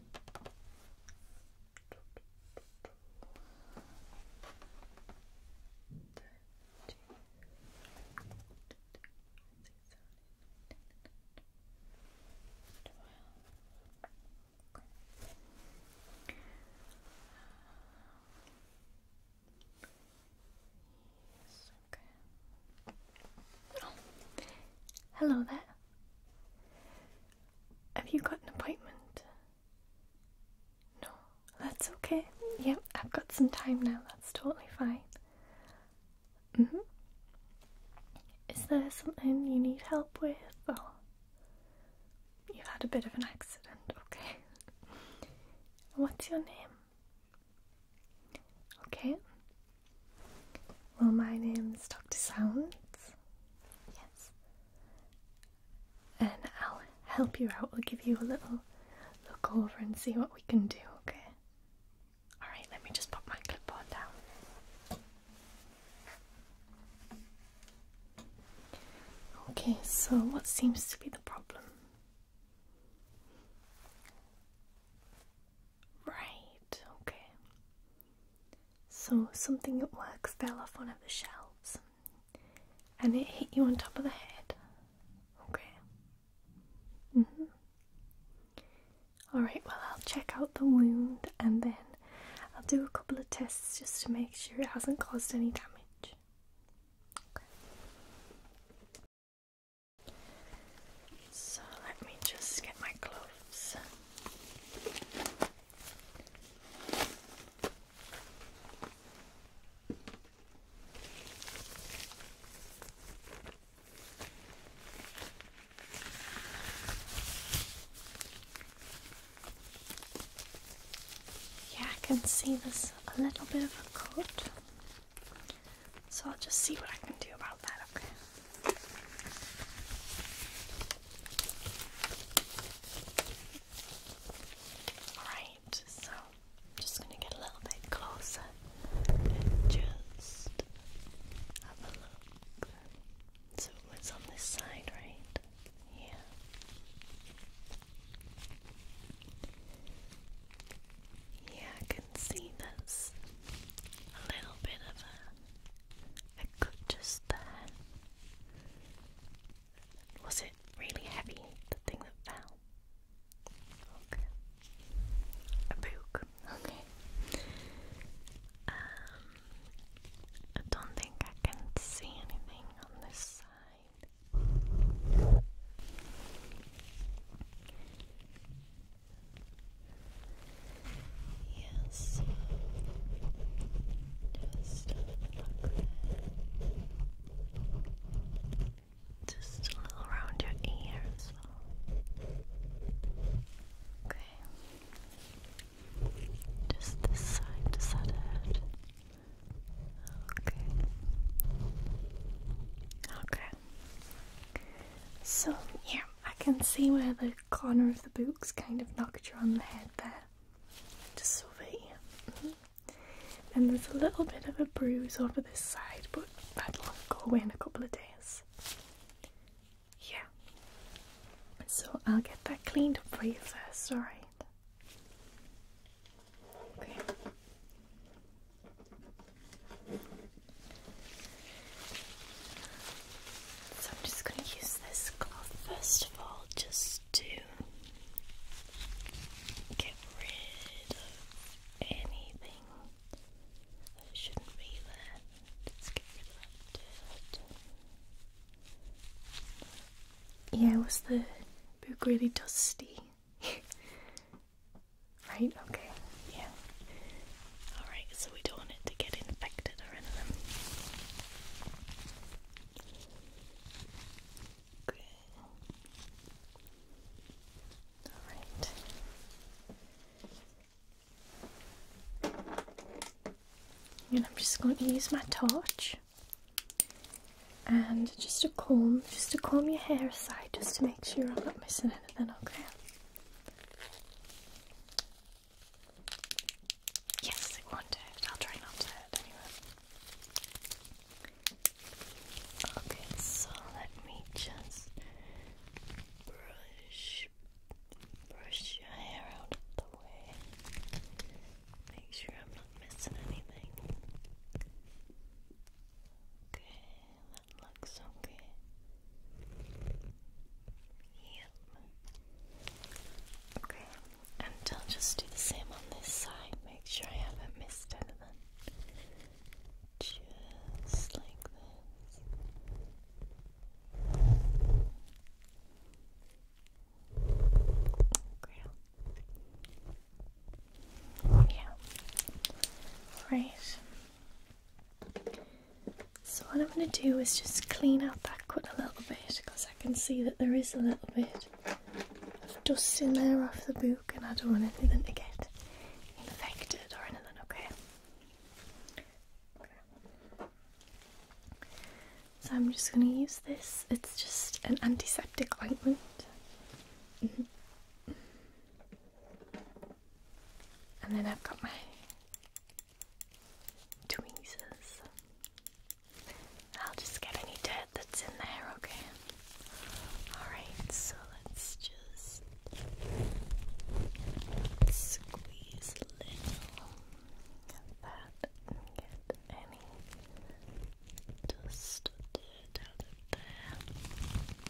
Yes, okay. Oh. Hello there. Have you got an appointment? No, that's okay. Yep, I've got some time now. That's totally fine. Mm-hmm. Is there something you need help with? Or you've had a bit of an accident, okay. What's your name? Okay, well, my name's Dr. Sounds. Yes. And I'll help you out. I'll give you a little look over and see what we can do, okay? Alright, let me just pop my clipboard down. Okay, so what seems to be the problem? Right, okay. So, something at work fell off one of the shelves and it hit you on top of the head. Okay. hmm. Alright, well, I'll check out the wound and then I'll do a couple of tests just to make sure it hasn't caused any damage. So let me just get my gloves. Yeah, I can see there's a little bit of a coat. So I'll just see what I can do about that, okay? Alright, so I'm just gonna get a little bit closer and just have a look. So it's on this side, right? Yeah. Yeah, I see there's a little bit of a, a just there. Was it really heavy, the thing that fell? Okay. A book. Okay. Um, I don't think I can see anything on this side. Yes, just just a little around your ears. Okay, just this side, just that it. Okay. Okay. So yeah, I can see where the corner of the book's kind of knocked you on the head there. Just over here. Mm -hmm. And there's a little bit of a bruise over this side, but that'll go away in a couple of days. Yeah. So I'll get that cleaned up for you first, alright? Okay. So I'm just going to use this cloth first of all just to get rid of anything that shouldn't be there. Just get rid of that Yeah, was the book really dusty? Right? Okay. Yeah. Alright, so we don't want it to get infected or anything. Okay. Alright. And I'm just going to use my torch and just a comb, just to comb your hair aside just to make sure I'm not missing anything, okay? Yes, it will I'll try not to Okay, so let me just brush brush your hair out of the way. Make sure I'm not missing anything. Okay that looks okay. Yep. Okay, and I'll just do the same on this side. Make sure I haven't missed anything. Just like this. Great. Yeah. Right. So what I'm going to do is just clean out that corner a little bit because I can see that there is a little bit of dust in there off the book and I don't want anything to get infected or anything, okay? So I'm just going to use this. It's just an antiseptic ointment. Mm and then I've got my tweezers. I'll just get any dirt that's in there, okay? Alright, so let's just squeeze little that get any dust out of there.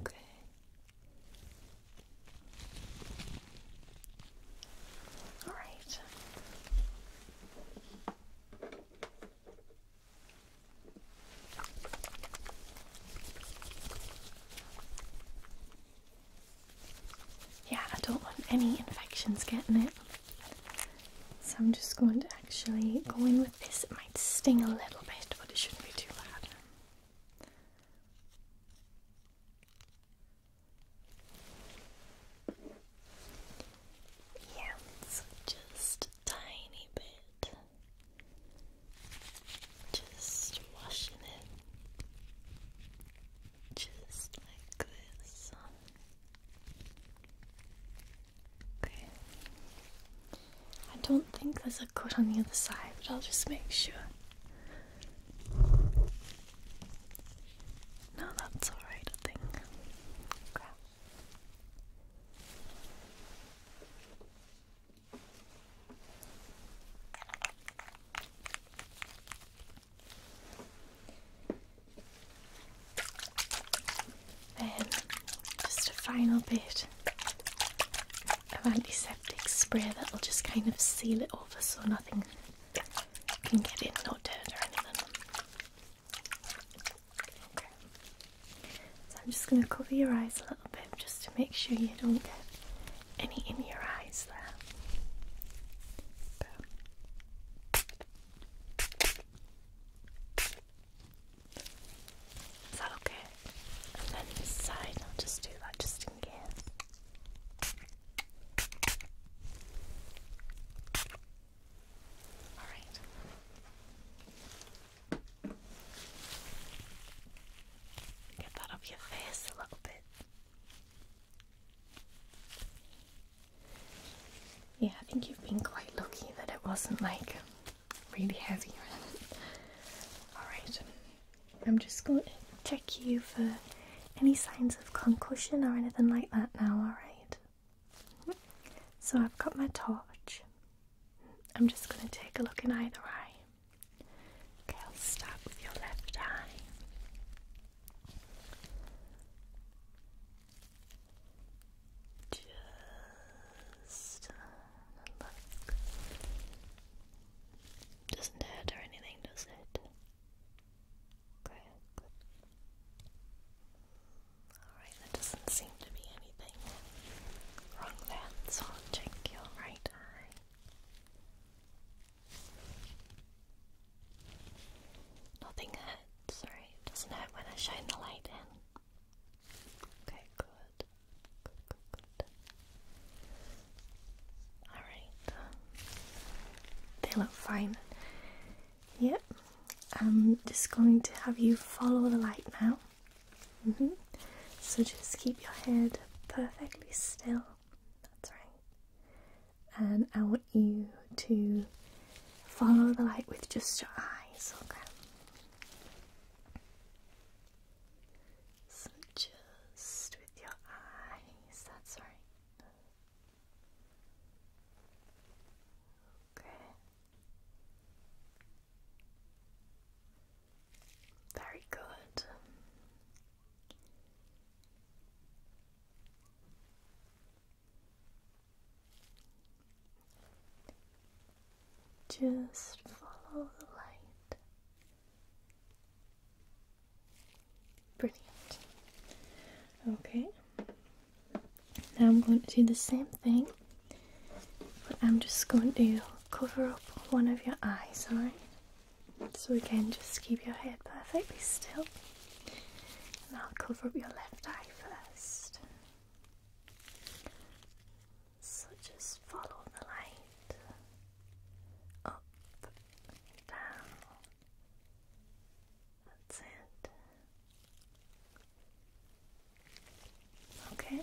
Okay. All right. Yeah, I don't want any infections getting it. So I'm just going to actually go in with this. It might sting a little bit, but it shouldn't be too bad. Yeah, just a tiny bit. Just washing it. Just like this. Okay. I don't think there's a coat on the other side, but I'll just make sure. No, that's alright, I think. Then, just a final bit of antiseptic spray that'll just kind of seal it over so nothing can get in, or dirt or anything. So I'm just going to cover your eyes a little bit just to make sure you don't get any in your eyes there. Is that okay? And then side, I'll just do that just in case. Alright. Get that off your face a little bit. Yeah, I think you've been quite lucky that it wasn't like really heavy Alright, um, I'm just going to check you for any signs of concussion or anything like that now, alright? So I've got my torch. I'm just going to take a look in either eye. Okay, I'll start with your left eye. Just uh, Doesn't hurt or anything, does it? Okay, Alright, there doesn't seem to be anything wrong there, so check your right eye. Nothing hurts, sorry. doesn't hurt when I shine the light in. Okay, good. Good, good, Alright. They look fine. Yep. I'm just going to have you follow the light now. Mm-hmm. So just keep your head perfectly still. That's right. And I want you to follow the light with just your eyes, okay? just with your eyes, that's right. Okay. Very good. Just follow the light. Brilliant. Okay. Now I'm going to do the same thing, but I'm just going to cover up one of your eyes, alright? So again, just keep your head perfectly still. And I'll cover up your left eye first. So just follow the light up, down. That's it. Okay,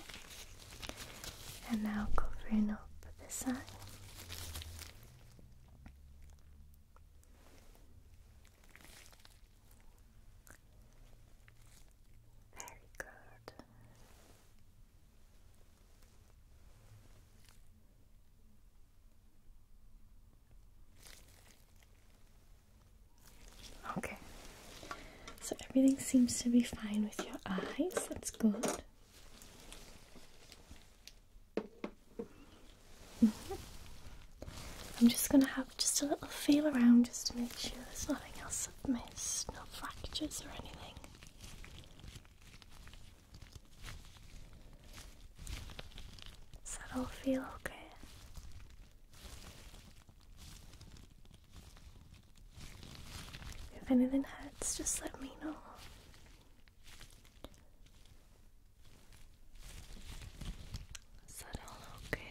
and now covering up this eye. Very good. Okay, so everything seems to be fine with your eyes, that's good. Mm-hmm. I'm just going to have just a little feel around just to make sure there's nothing else i missed, no fractures or anything. Does that will feel okay? If anything hurts, just let me know. Is okay?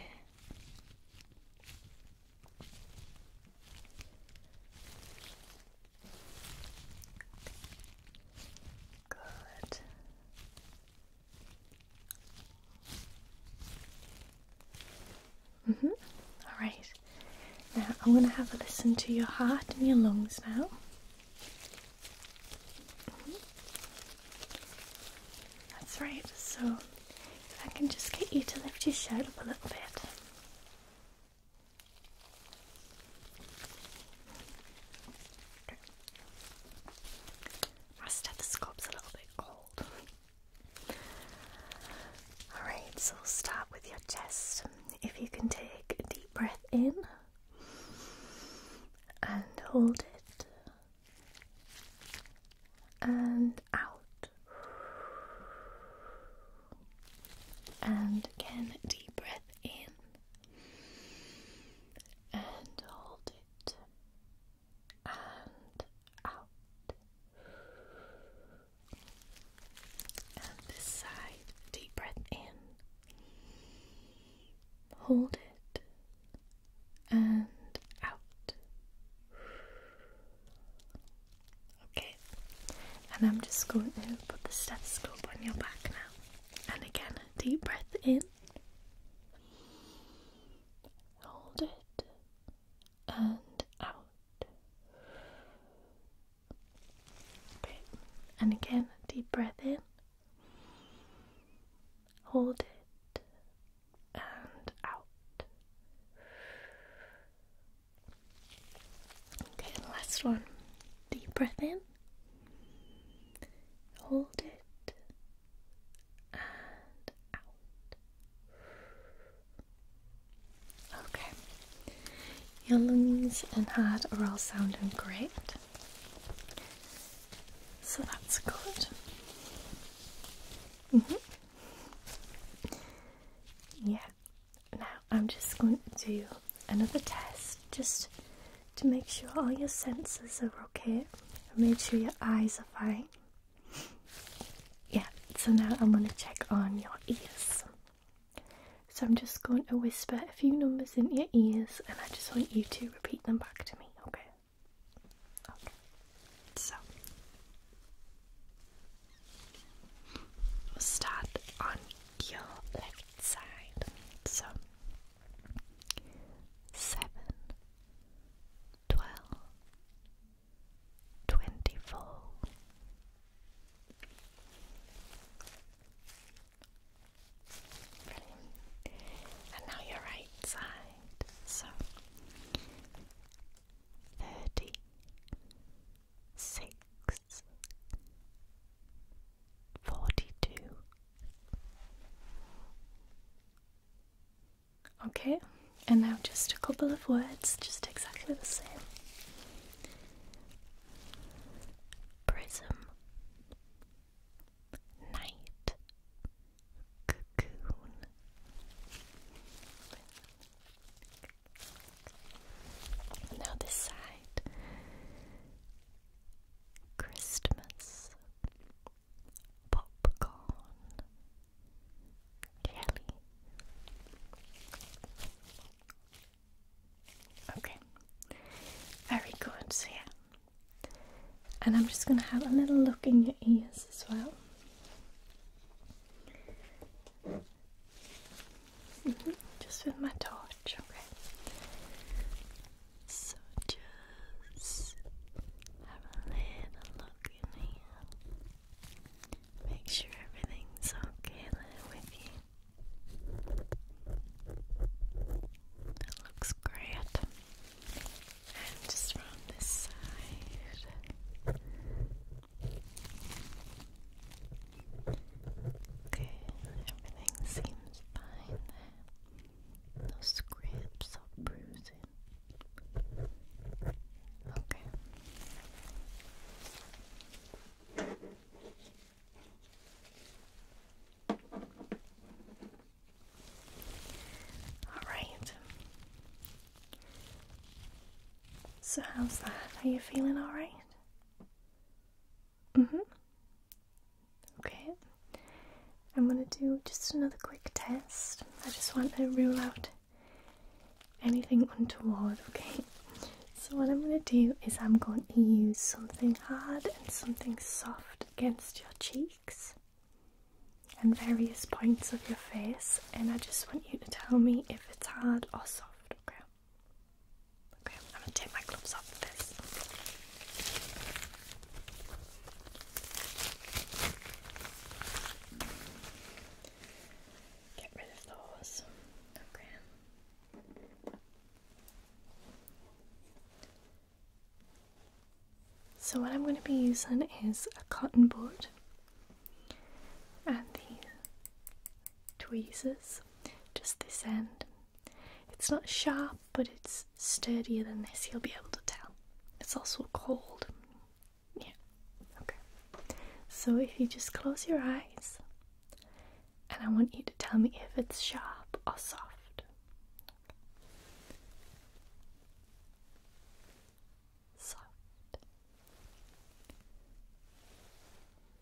Good. Mhm. Mm all right. Now I'm going to have a listen to your heart and your lungs now. Mm-hmm. That's right, so I can just get you to lift your shirt up a little bit. Okay. My stethoscope's a little bit cold. Alright, so we'll start with your chest. If you can take a deep breath in and hold it and out. And again, deep breath in and hold it and out. And this side, deep breath in hold it and out. Okay, and I'm just going to put the stethoscope on your back now. And again, deep breath in, hold it and out. Okay, and again, deep breath in. Hold it and out. Okay, last one. Deep breath in. Hold it and out. Okay. Your lungs and heart are all sounding great. So that's good. Mm-hmm. Yeah. Now I'm just going to do another test just to make sure all your senses are okay. and make sure your eyes are fine. Yeah, so now I'm going to check on your ears. So I'm just going to whisper a few numbers in your ears and I just want you to repeat them back to me, okay? so start on your left side. So seven, twelve, twenty-four. And now your right side. So thirty six forty two. Okay, and now just a couple of words, just exactly the same. Prism, night cocoon. Now this side, Christmas, popcorn, jelly. Okay, very good. yeah, and I'm just going to have a little look in your ears as well. Mm-hmm, just with my torch, okay. So just have a little look in here. Make sure everything's okay with you. looks great. And just from this side. Okay, everything seems fine No scripts or bruising. Okay. Alright. So, how's that? Are you feeling alright? Mm hmm. Okay. I'm gonna do just another quick test. I just want to rule out anything untoward, okay? So, what I'm gonna do is I'm going to use something hard and something soft against your cheek and various points of your face, and I just want you to tell me if it's hard or soft, okay? Okay, I'm gonna take my gloves off this. Get rid of those. Okay. So, what I'm going to be using is a cotton board and the tweezers, just this end. It's not sharp, but it's sturdier than this, you'll be able to tell. It's also cold. Yeah, okay. So, if you just close your eyes, and I want you to tell me if it's sharp or soft soft,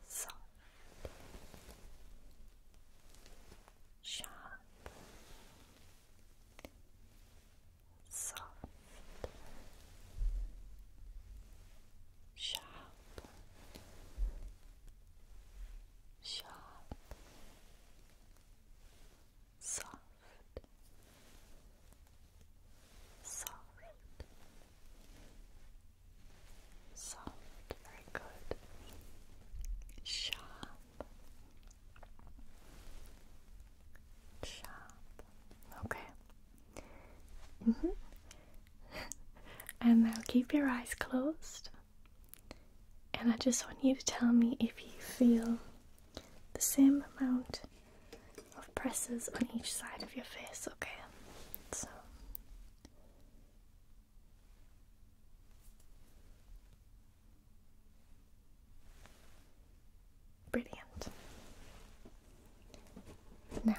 soft, sharp, soft, sharp sharp, soft, soft, soft, very good, sharp, sharp, okay. Mm -hmm. and now keep your eyes closed. And I just want you to tell me if you feel the same amount of presses on each side of your face, okay? So. Brilliant. Now,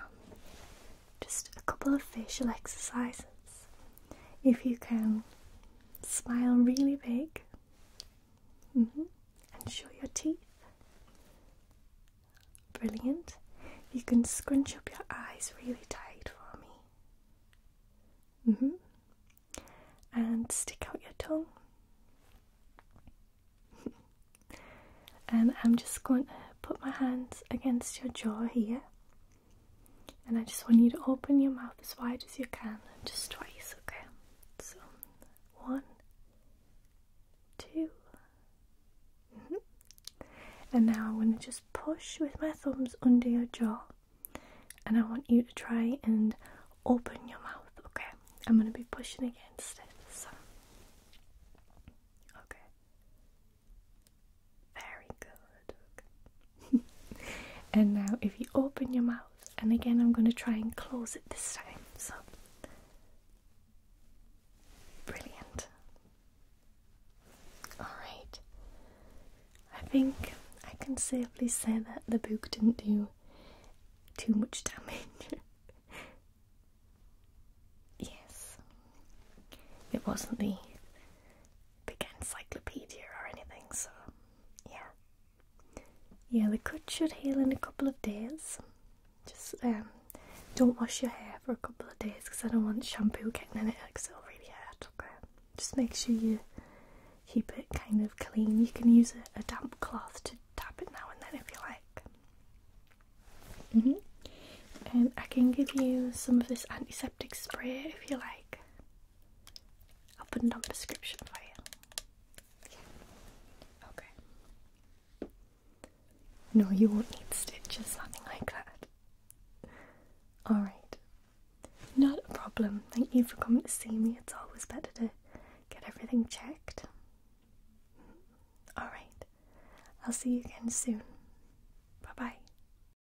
just a couple of facial exercises if you can smile really big mm-hmm, and show your teeth. Brilliant. You can scrunch up your eyes really tight for me. Mm-hmm. And stick out your tongue. and I'm just going to put my hands against your jaw here and I just want you to open your mouth as wide as you can, just twice, okay? So, one, two. Mm-hmm. And now I'm going to just push with my thumbs under your jaw. And I want you to try and open your mouth, okay? I'm going to be pushing against it. So, okay. Very good. and now, if you open your mouth, and again, I'm going to try and close it this time. So, brilliant. Alright. I think I can safely say that the book didn't do too much damage. yes. It wasn't the big encyclopedia or anything, so yeah. Yeah, the cut should heal in a couple of days. Just um, don't wash your hair for a couple of days because I don't want shampoo getting in it because it'll really hurt. Okay, just make sure you keep it kind of clean. You can use a, damp cloth to tap it now and then if you like. Mm-hmm. and I can give you some of this antiseptic spray if you like. I'll put it on description for you. Okay. No, you won't need stitches, nothing like that. Alright. Not a problem. Thank you for coming to see me. It's always better to get everything checked. Alright. I'll see you again soon. Bye bye.